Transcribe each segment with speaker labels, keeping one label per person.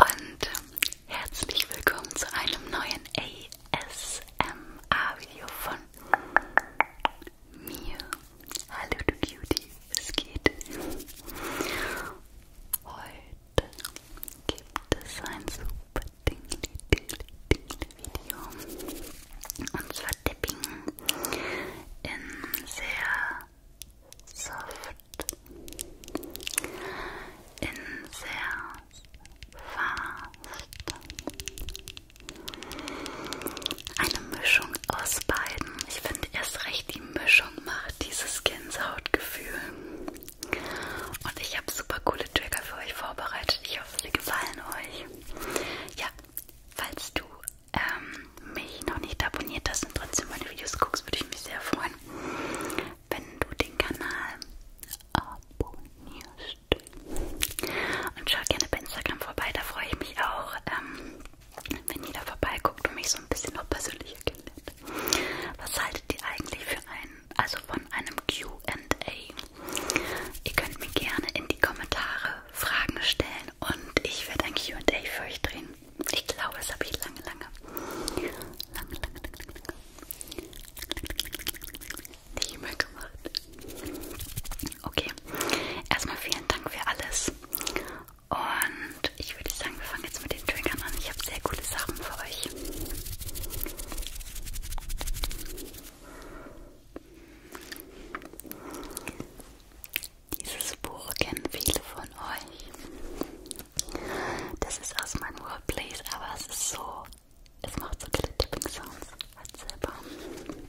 Speaker 1: Und ähm, herzlich willkommen zu einem neuen ASMR-Video von mir. Hallo du Cutie, es geht. Heute gibt es ein super Dingle, Dingle, Dingle Video. Und zwar Dipping in sehr soft, in sehr fast. Eine Mischung aus beiden. Ich finde erst recht, die Mischung macht dieses Gänsehautgefühl. Und ich habe super coole Trigger für euch vorbereitet. Ich ich hoffe, sie gefallen euch. Ja, falls du ähm, mich noch nicht abonniert hast und trotzdem meine Videos guckst, würde ich mich sehr freuen, wenn du den Kanal abonnierst. Und schau gerne bei Instagram vorbei, da freue ich mich auch, ähm, wenn jeder vorbeiguckt und mich so ein bisschen noch persönlicher kennenlernt. Was haltet ihr eigentlich für einen, also von einem QA? Ihr könnt mir gerne in die Kommentare Fragen stellen und ich werde ein QA für euch drehen. Ich glaube, das habe ich lange, lange, lange, lange, lange, lange nicht mehr gemacht. Okay, erstmal vielen Dank für alles. Und ich würde sagen, wir fangen jetzt mit den Triggern an. Ich habe sehr coole Sachen für euch. Dieses Buch kennen viele von euch. Das ist aus meinem Workplace, aber es ist so, es macht so viele Tipping Sounds als halt selber. Hm.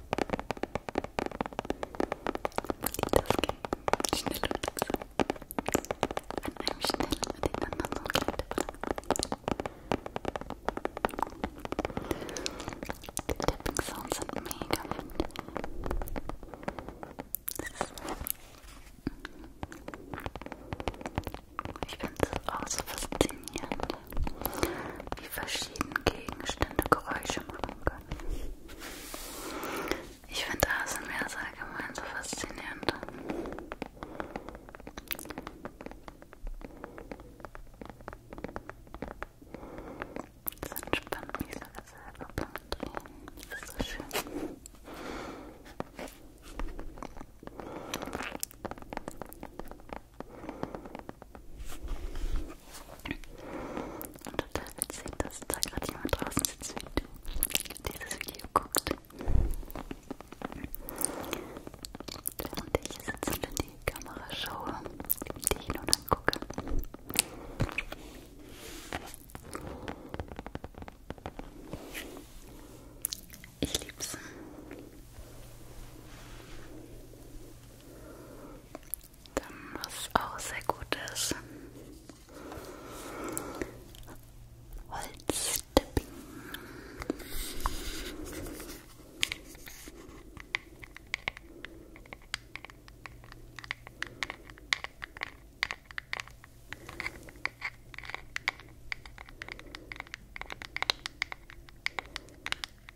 Speaker 1: Die das schnell und langsam. An einem schnell mit den anderen so kleine Die Tapping Sounds sind mega gut. Ich finde das auch so faszinierend wie verschiedene Gegenstände Geräusche machen können. Ich finde ASMR allgemein so faszinierend. Das entspannt mich sogar selber beim Drehen. Das ist so schön. Und total witzig, dass da gerade jemand draußen sitzt, wie du dieses Video guckt. Während ich hier sitze und in die Kamera schaue, die ich nun angucke. Ich lieb's. Dann was auch sehr gut ist. Holztipping.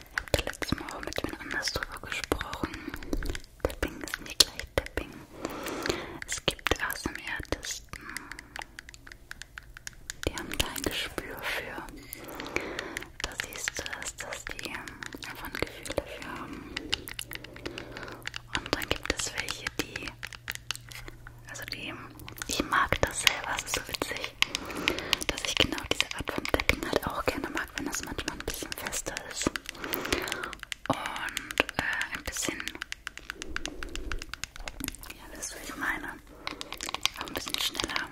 Speaker 1: habe da letztes Mal auch mit jemand anders drüber gesprochen. Tapping ist nicht gleich Tapping. Es gibt ASMR-Artisten, die haben da ein Gespür für. Da siehst du es, dass die einfach ein Gefühl dafür haben. Und dann gibt es welche, die. Also die. Ich mag das selber, es ist so witzig, dass ich genau diese Art von Tapping halt auch gerne mag, wenn das manchmal ein bisschen fester ist und äh, ein bisschen, ja, wisst ihr, was ich meine, auch ein bisschen schneller.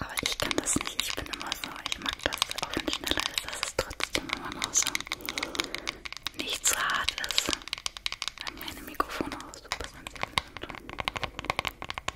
Speaker 1: Aber ich kann das nicht, ich bin immer so, ich mag das, auch wenn es schneller ist, dass es trotzdem immer noch so nicht zu hart ist. An meine Mikrofone auch super sensibel sind.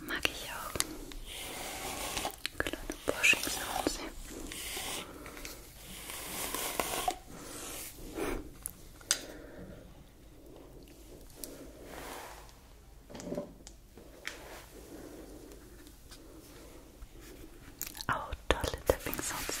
Speaker 1: Mag ich auch. Kleine Boschung sounds Auch tolle Tapping Sounds.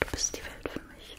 Speaker 1: Du bist die Welt für mich.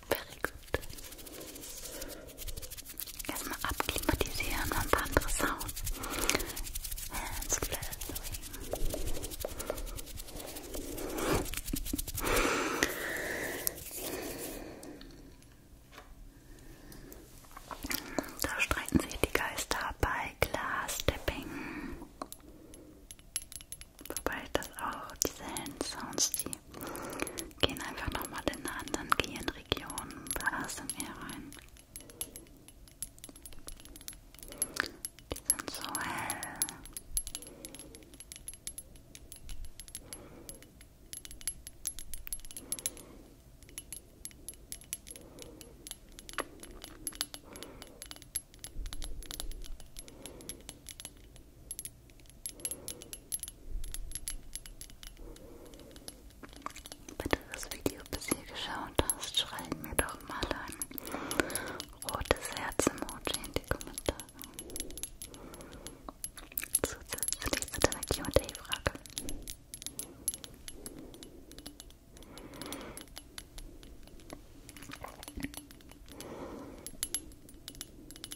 Speaker 1: Very good. Erstmal abklimatisieren und ein paar andere Sounds. Hands Da streiten sich die Geister bei Glass Stepping. Wobei das auch diese Hand Sounds, die gehen einfach nochmal in einer anderen Gehirnregion. Regionen bei ASMR rein. Die sind so hell. Wenn du das Video bis hier geschaut hast, schreib mir doch mal ein rotes Herz-Emoji in die Kommentare. Zusätzlich zu deiner QA-Frage.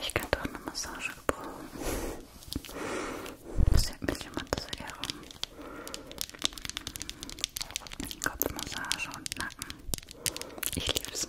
Speaker 1: Ich könnte auch eine Massage gebrauchen. Sieht mich jemand sehr rum. Kopfmassage und Nacken. Ich lieb's.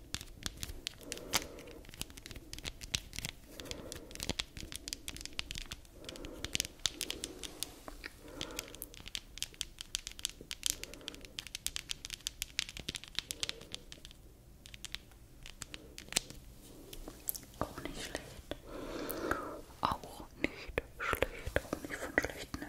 Speaker 1: Auch nicht schlecht. Auch nicht schlecht. Auch nicht von schlechten Eltern.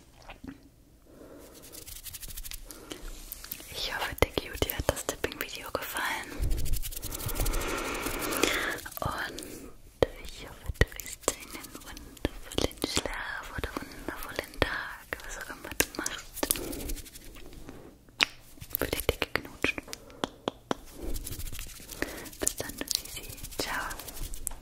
Speaker 1: Ich hoffe, Dicky, dir hat das Tipping-Video gefallen. Und ich hoffe, du riechst einen wundervollen Schlaf oder wundervollen Tag, was auch immer du machst. Würde ich dicke knutschen. Bis dann, Sisi. Ciao.